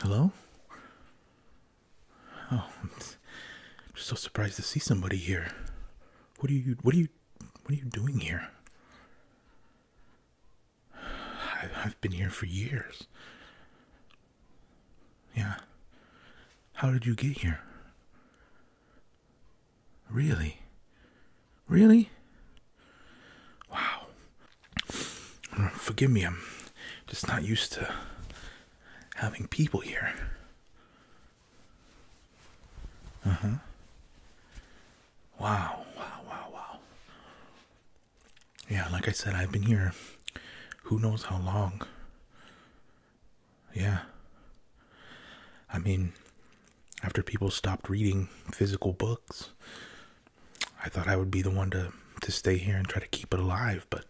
Hello? Oh, I'm so surprised to see somebody here. What are you? What are you? What are you doing here? I, have been here for years. Yeah. How did you get here? Really? Really? Wow. Forgive me, I'm just not used to having people here. Uh-huh. Wow, wow, wow, wow. Yeah, like I said, I've been here who knows how long. Yeah. I mean, after people stopped reading physical books, I thought I would be the one to, to stay here and try to keep it alive, but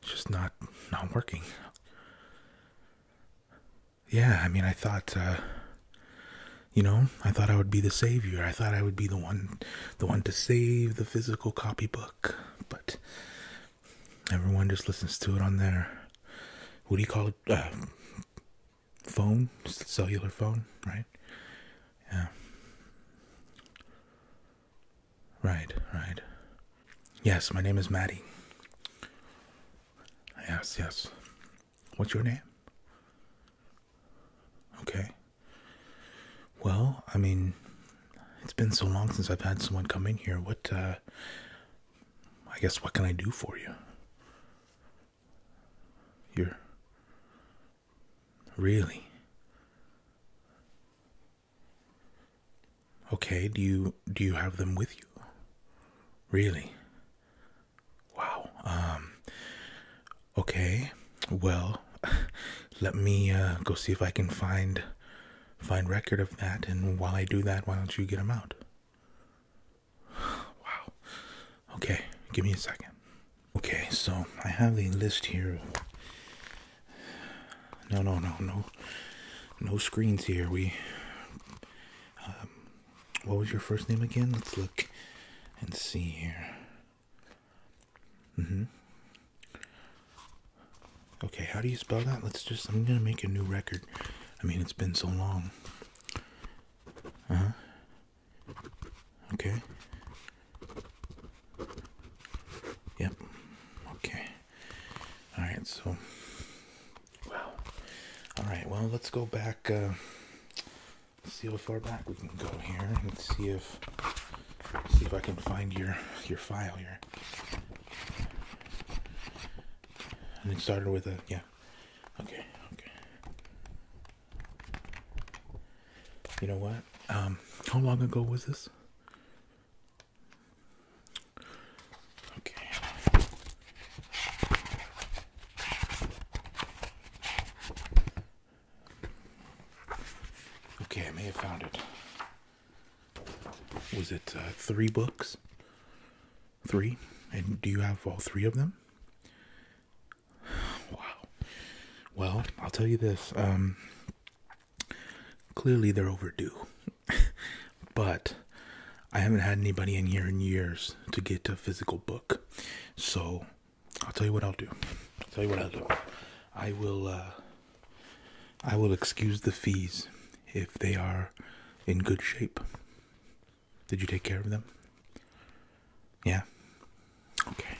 it's just not not working yeah, I mean, I thought, uh, you know, I thought I would be the savior. I thought I would be the one, the one to save the physical copybook. But everyone just listens to it on their, what do you call it? Uh, phone, cellular phone, right? Yeah. Right, right. Yes, my name is Maddie. Yes, yes. What's your name? Okay. Well, I mean, it's been so long since I've had someone come in here. What, uh, I guess, what can I do for you? You're. Really? Okay, do you do you have them with you? Really? Wow. Um okay. Well, let me uh, go see if I can find find record of that and while I do that, why don't you get them out? wow. Okay, give me a second. Okay, so I have the list here. No, no, no, no. No screens here. We um, what was your first name again? Let's look and see here. Mm-hmm. Okay, how do you spell that? Let's just, I'm gonna make a new record. I mean, it's been so long. Uh-huh. Okay. Yep. Okay. All right, so wow. All right, well, let's go back. Uh, see how far back we can go here, Let's see if see if I can find your your file here. And it started with a yeah. Okay, okay. You know what? Um, how long ago was this? Okay. Okay, I may have found it. Was it uh, three books? Three? And do you have all three of them? Wow. Well, I'll tell you this. Um, clearly, they're overdue. but I haven't had anybody in here in years to get a physical book. So I'll tell you what I'll do. I'll tell you what I'll do. I will uh, I will excuse the fees if they are in good shape. Did you take care of them? Yeah. Okay.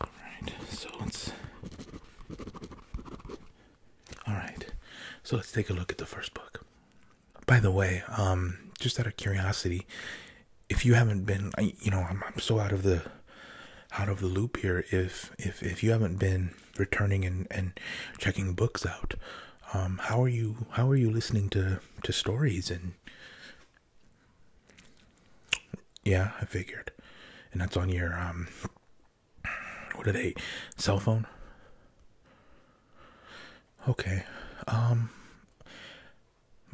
All right. So let's all right. So let's take a look at the first book. By the way, um, just out of curiosity, if you haven't been, you know, I'm, I'm so out of the out of the loop here. If if if you haven't been returning and and checking books out, um, how are you? How are you listening to to stories and? Yeah, I figured, and that's on your um what are they? Cell phone? Okay. Um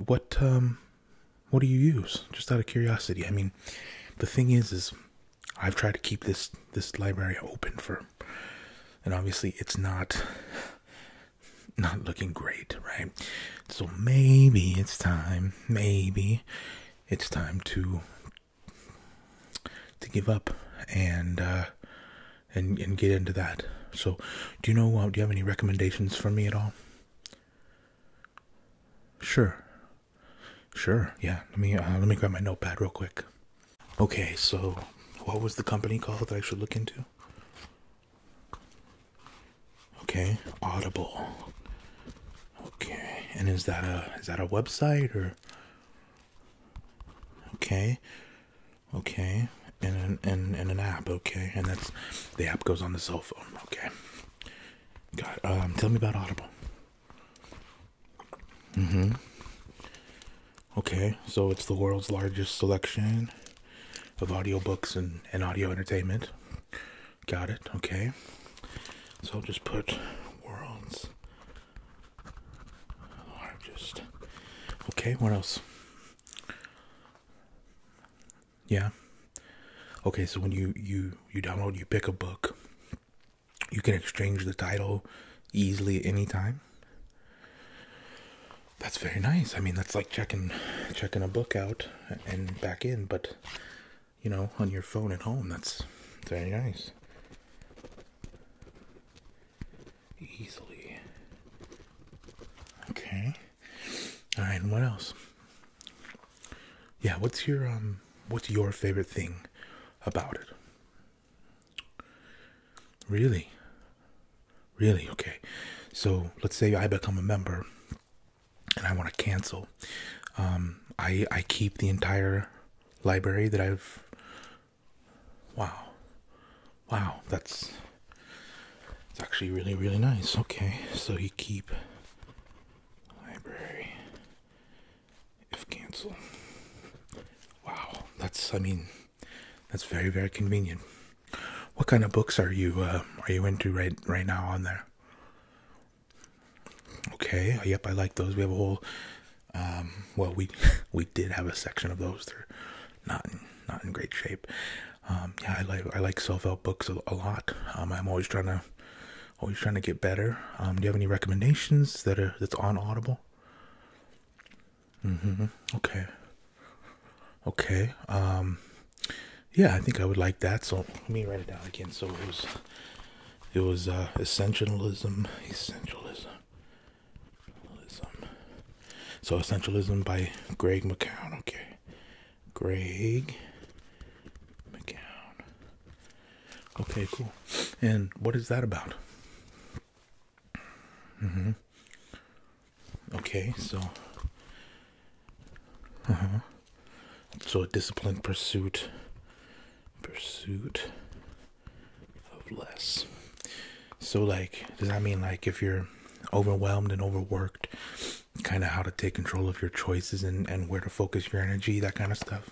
what um what do you use? Just out of curiosity. I mean, the thing is is I've tried to keep this this library open for and obviously it's not not looking great, right? So maybe it's time, maybe it's time to to give up and uh, and and get into that. So, do you know? Uh, do you have any recommendations for me at all? Sure, sure. Yeah. Let me uh, let me grab my notepad real quick. Okay. So, what was the company called that I should look into? Okay, Audible. Okay, and is that a is that a website or Okay. Okay. And an, and, an app. Okay. And that's the app goes on the cell phone. Okay. Got Um, tell me about Audible. Mm hmm. Okay. So it's the world's largest selection of audiobooks and, and audio entertainment. Got it. Okay. So I'll just put world's largest. Oh, okay, what else? Yeah. Okay, so when you you you download, you pick a book. You can exchange the title easily anytime. That's very nice. I mean, that's like checking checking a book out and back in, but you know, on your phone at home, that's very nice easily. Okay. All right. What else? Yeah. What's your um? What's your favorite thing about it? Really? Really? Okay. So let's say I become a member and I want to cancel. Um, I I keep the entire library that I've. Wow. Wow, that's. It's actually really, really nice. Okay, so you keep. Library. If cancel. Wow, that's. I mean, that's very, very convenient. What kind of books are you uh, are you into right right now on there? Okay, yep, I like those. We have a whole um, well we we did have a section of those. They're not in, not in great shape. Um, yeah, I like I like self-help books a, lot. Um, I'm always trying to always trying to get better. do you have any recommendations that are that's on Audible? Mm-hmm. Okay. Okay. yeah, I think I would like that. So let me write it down again. So it was it was uh, essentialism, essentialism, So essentialism by Greg McCown. Okay, Greg McCown. Okay, cool. And what is that about? Mm-hmm. Okay, so. Uh huh. So a disciplined pursuit. Pursuit of less. So, like, does that mean, like, if you're overwhelmed and overworked, kind of how to take control of your choices and, and where to focus your energy, that kind of stuff?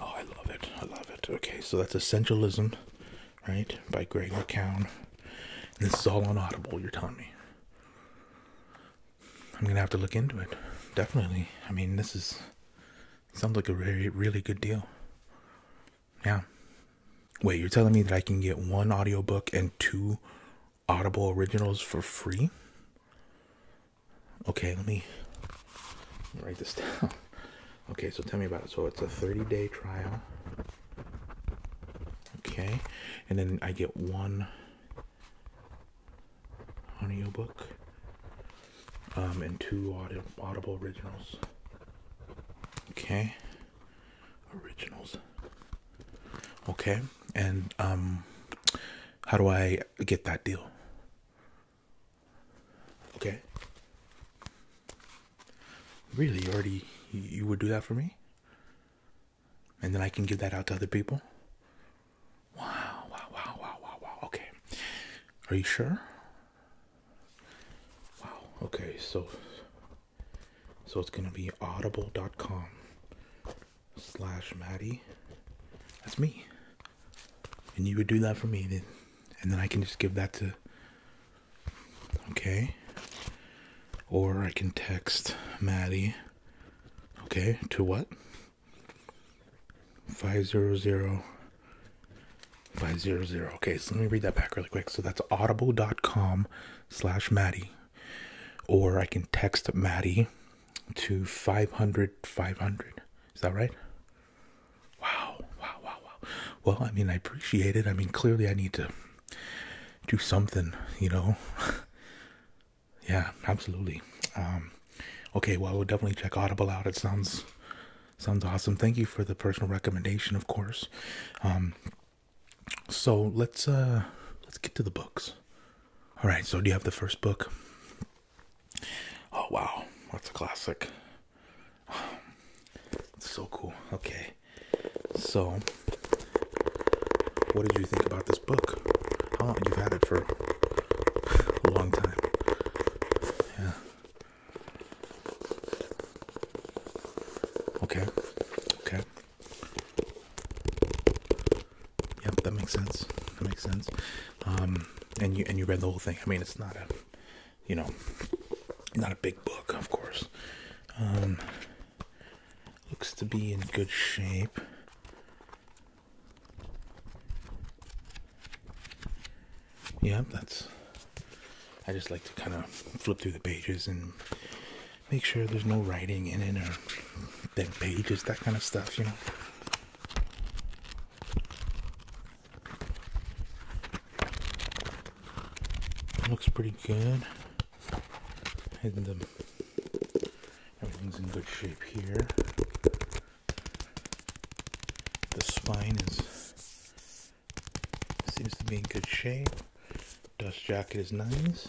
Oh, I love it. I love it. Okay, so that's Essentialism, right? By Greg McCown. this is all on Audible, you're telling me. I'm gonna have to look into it. Definitely. I mean, this is Sounds like a really, really good deal. Yeah. Wait, you're telling me that I can get one audiobook and two Audible originals for free? Okay, let me write this down. Okay, so tell me about it. So it's a 30 day trial. Okay, and then I get one audiobook um, and two audi audible originals okay originals okay and um how do i get that deal okay really already you would do that for me and then i can give that out to other people Wow, wow, wow, wow, wow, Okay. Are you sure? Wow. Okay, so so it's gonna be audible.com slash Maddie. That's me. And you would do that for me then and then I can just give that to Okay. Or I can text Maddie. Okay, to what? Five zero zero. Five zero zero. Okay, so let me read that back really quick. So that's audible.com slash Maddie. Or I can text Maddie to 500 500. Is that right? Wow, wow, wow, wow. Well, I mean, I appreciate it. I mean, clearly I need to do something, you know? yeah, absolutely. Um, Okay, well, I will definitely check Audible out. It sounds sounds awesome. Thank you for the personal recommendation, of course. Um, so let's uh, let's get to the books. All right. So do you have the first book? Oh wow, that's a classic. it's so cool. Okay. So, what did you think about this book? How long you've had it for? a long time. Yeah. Okay. Okay. Yep, that makes sense. That makes sense. Um, and you and you read the whole thing. I mean, it's not a, you know, not a big book, of course. Um, looks to be in good shape yeah that's i just like to kind of flip through the pages and make sure there's no writing in it or dead pages that kind of stuff you know looks pretty good and the, um, everything's in good shape here the spine seems to be in good shape. Dust jacket is nice.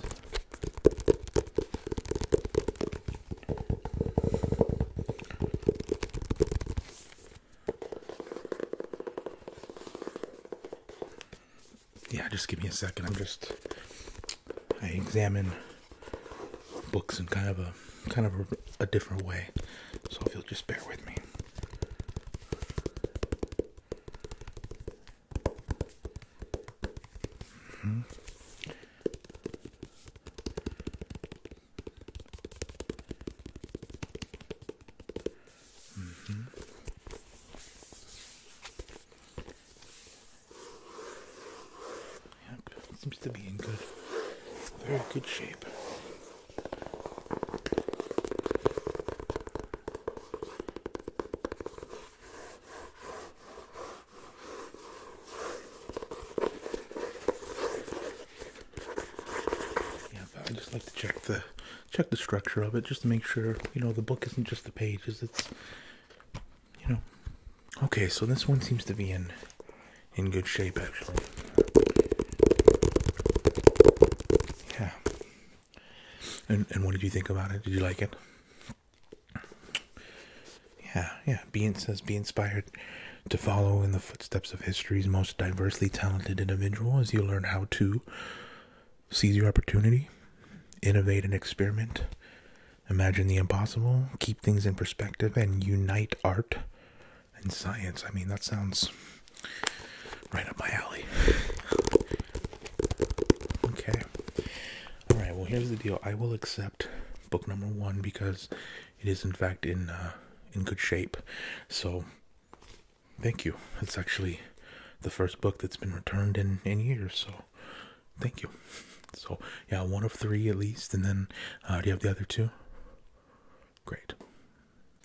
Yeah, just give me a second. I'm just I examine books in kind of a kind of a, different way. So if you'll just bear with me. Mm-hmm. Mm-hmm. Yep, seems to be in good, very good shape. Yeah, I just like to check the check the structure of it just to make sure you know the book isn't just the pages. It's you know. Okay, so this one seems to be in in good shape actually. Yeah. And and what did you think about it? Did you like it? Yeah, yeah. Be says be inspired to follow in the footsteps of history's most diversely talented individual as you learn how to seize your opportunity, innovate and experiment, imagine the impossible, keep things in perspective, and unite art and science. I mean, that sounds right up my alley. Okay. All right, well, here's the deal. I will accept book number one because it is, in fact, in, uh, in good shape. So, thank you. It's actually the first book that's been returned in, in years, so thank you. So yeah, one of three at least, and then uh, do you have the other two? Great.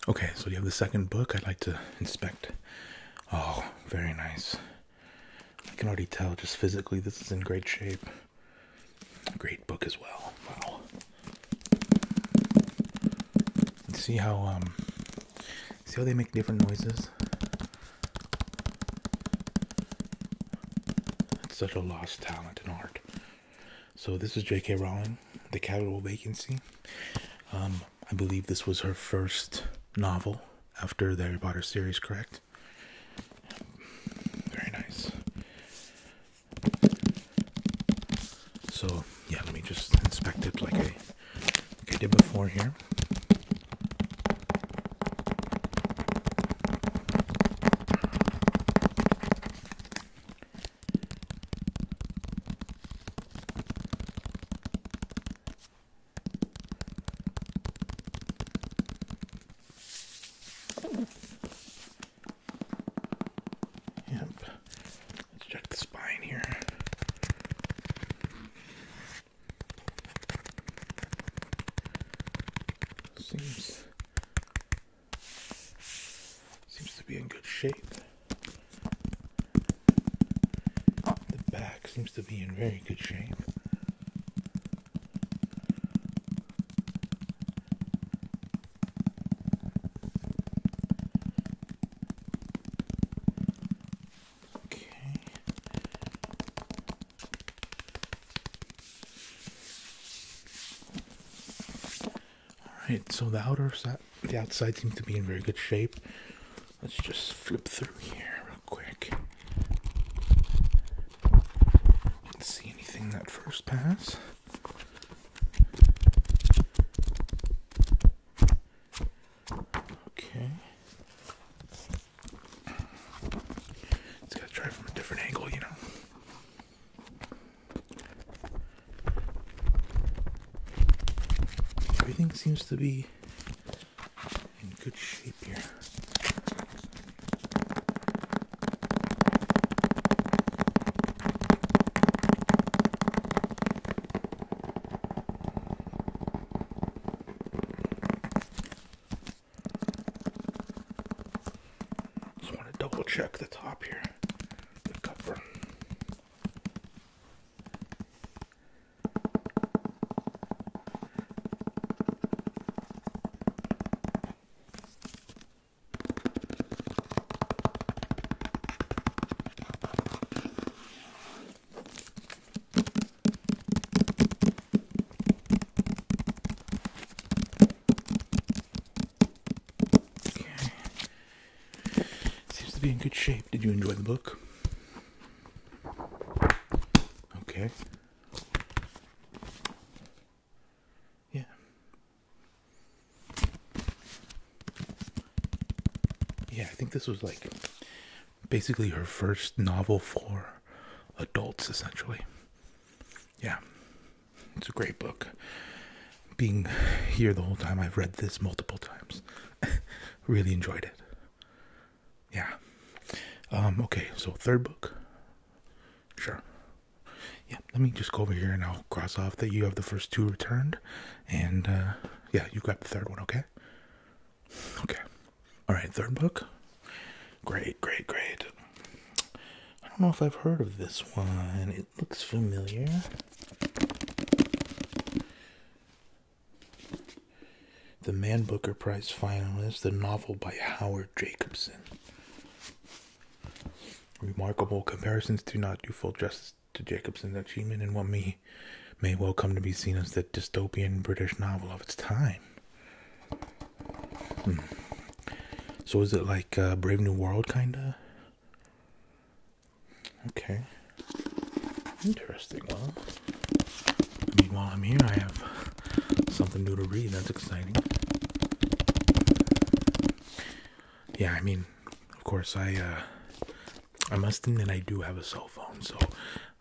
Okay, so you have the second book? I'd like to inspect. Oh, very nice. I can already tell just physically this is in great shape. Great book as well. Wow. See how um, see how they make different noises? It's such a lost talent in art. So this is J.K. Rowling, The Capital Vacancy. Um, I believe this was her first novel after the Harry Potter series, correct? Very nice. So yeah, let me just inspect it like I did before here. Yep. Let's check the spine here. Seems seems to be in good shape. The back seems to be in very good shape. Okay. Alright, so the outer side, the outside seems to be in very good shape. Let's just flip through here real quick. see anything that first pass. Okay. Just gotta try from a different angle, you know. Everything seems to be in good shape here. Just want to double check the top here, the cover. Okay. Seems to be in good shape. Did you enjoy the book? Okay. Yeah. Yeah, I think this was like basically her first novel for adults, essentially. Yeah, it's a great book. Being here the whole time, I've read this multiple times. really enjoyed it. Yeah. Um, okay, so third book. Sure. Yeah, let me just go over here and I'll cross off that you have the first two returned. And uh, yeah, you grab the third one, okay? Okay. All right, third book. Great, great, great. I don't know if I've heard of this one. It looks familiar. The Man Booker Prize finalist, the novel by Howard Jacobson. Remarkable comparisons do not do full justice to Jacobson's achievement and what may, may well come to be seen as the dystopian British novel of its time. Hmm. So is it like uh, Brave New World kinda? Okay. Interesting. Well, I mean, while I'm here, I have something new to read. That's exciting. Yeah, I mean, of course, I uh, I must admit I do have a cell phone, so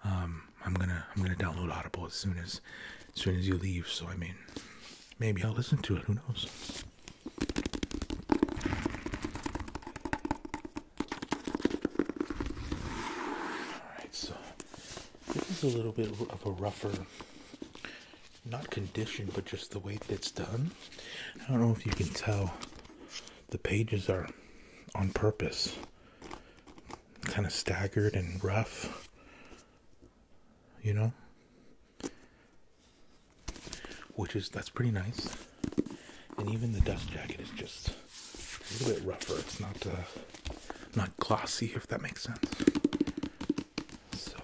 um, I'm gonna I'm gonna download Audible as soon as as soon as you leave. So I mean, maybe I'll listen to it. Who knows? All right, so this is a little bit of a rougher, not condition, but just the way that's done. I don't know if you can tell. The pages are on purpose kind of staggered and rough, you know, which is that's pretty nice. And even the dust jacket is just a little bit rougher. It's not uh, not glossy, if that makes sense. So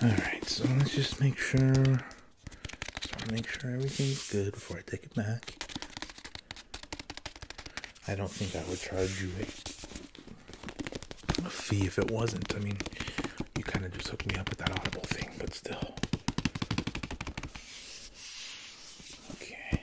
all right, so let's just make sure. Just want to make sure everything's good before I take it back. I don't think I would charge you a, a fee if it wasn't. I mean, you kind of just hooked me up with that Audible thing, but still. Okay.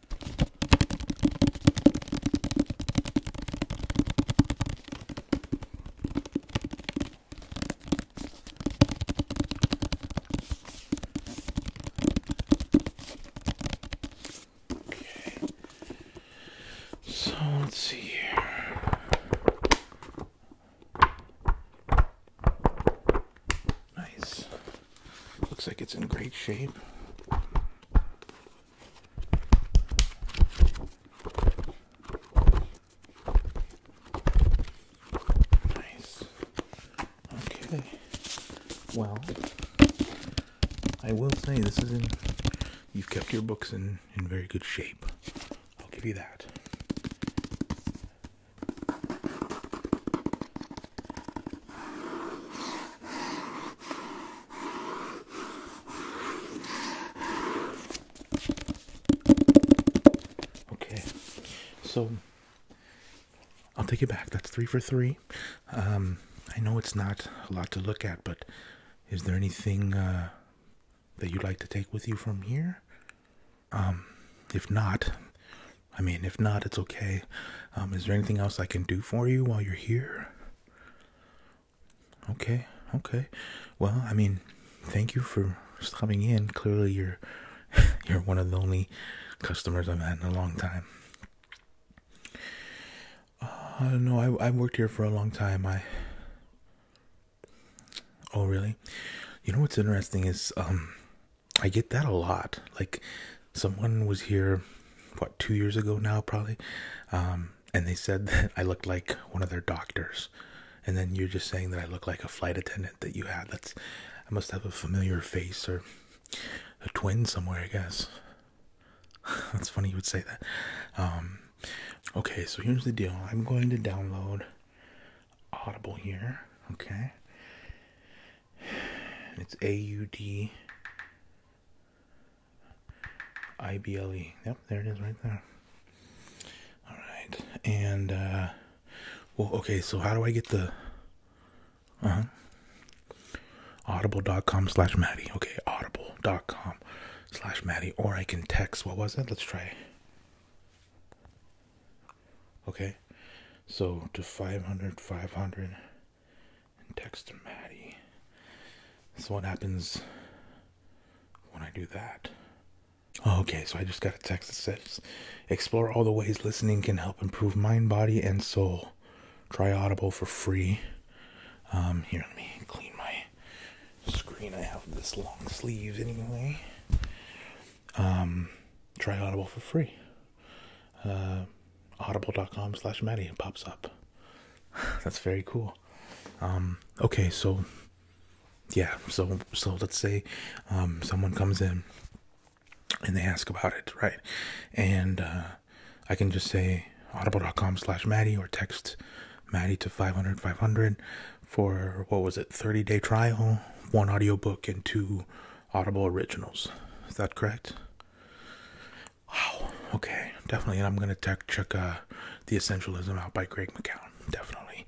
Okay. So let's see here. Nice. Looks like it's in great shape. Nice. Okay. Well, I will say this is in. You've kept your books in in very good shape. I'll give you that. Okay, so I'll take it back. That's three for three. Um, I know it's not a lot to look at, but is there anything uh, that you'd like to take with you from here? Um, if not, I mean, if not, it's okay. Um, is there anything else I can do for you while you're here? Okay, okay. Well, I mean, thank you for stopping in. Clearly, you're you're one of the only customers I've had in a long time. Uh, no, I I worked here for a long time. I. Oh really? You know what's interesting is um, I get that a lot. Like someone was here, what, two years ago now, probably, um, and they said that I looked like one of their doctors. And then you're just saying that I look like a flight attendant that you had. That's, I must have a familiar face or a twin somewhere, I guess. That's funny you would say that. Um, okay, so here's the deal. I'm going to download Audible here. Okay. It's A U D I B L E. Yep, there it is right there. All right. And, uh, well, okay, so how do I get the. Uh huh. Audible.com slash Maddie. Okay, audible.com slash Maddie. Or I can text. What was it? Let's try. Okay. So to 500, 500 and text Maddie. So what happens when I do that? Oh, okay, so I just got a text that says, "Explore all the ways listening can help improve mind, body, and soul. Try Audible for free." Um, here, me clean my screen. I have this long sleeve anyway. Um, try Audible for free. Uh, audible.com slash Maddie pops up. That's very cool. Um, okay, so yeah, so so let's say um, someone comes in and they ask about it, right? And uh, I can just say audible.com slash Maddie or text Maddie to 500 500 for what was it, 30 day trial, one audiobook, and two Audible originals. Is that correct? Wow. Okay. Definitely. And I'm gonna tech check uh, the Essentialism out by Greg McCown. Definitely.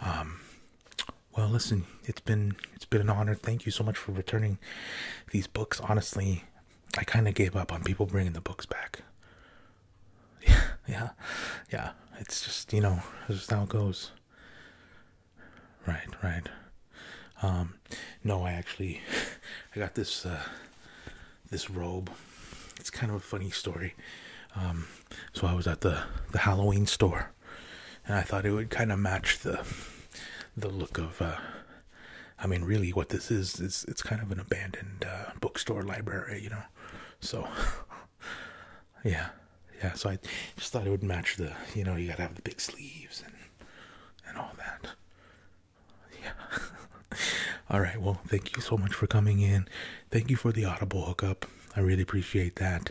Um, well, listen. It's been it's been an honor. Thank you so much for returning these books. Honestly, I kind of gave up on people bringing the books back. Yeah. Yeah. Yeah. It's just you know, it's just how it goes. Right, right. Um, no, I actually, I got this, uh, this robe. It's kind of a funny story. Um, so I was at the the Halloween store, and I thought it would kind of match the the look of. Uh, I mean, really, what this is is it's kind of an abandoned uh, bookstore library, you know. So, yeah, yeah. So I just thought it would match the. You know, you gotta have the big sleeves and and all that. Yeah. all right. Well, thank you so much for coming in. Thank you for the Audible hookup. I really appreciate that.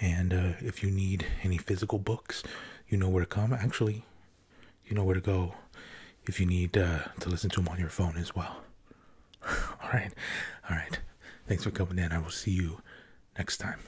And uh, if you need any physical books, you know where to come. Actually, you know where to go if you need uh, to listen to them on your phone as well. all right. All right. Thanks for coming in. I will see you next time.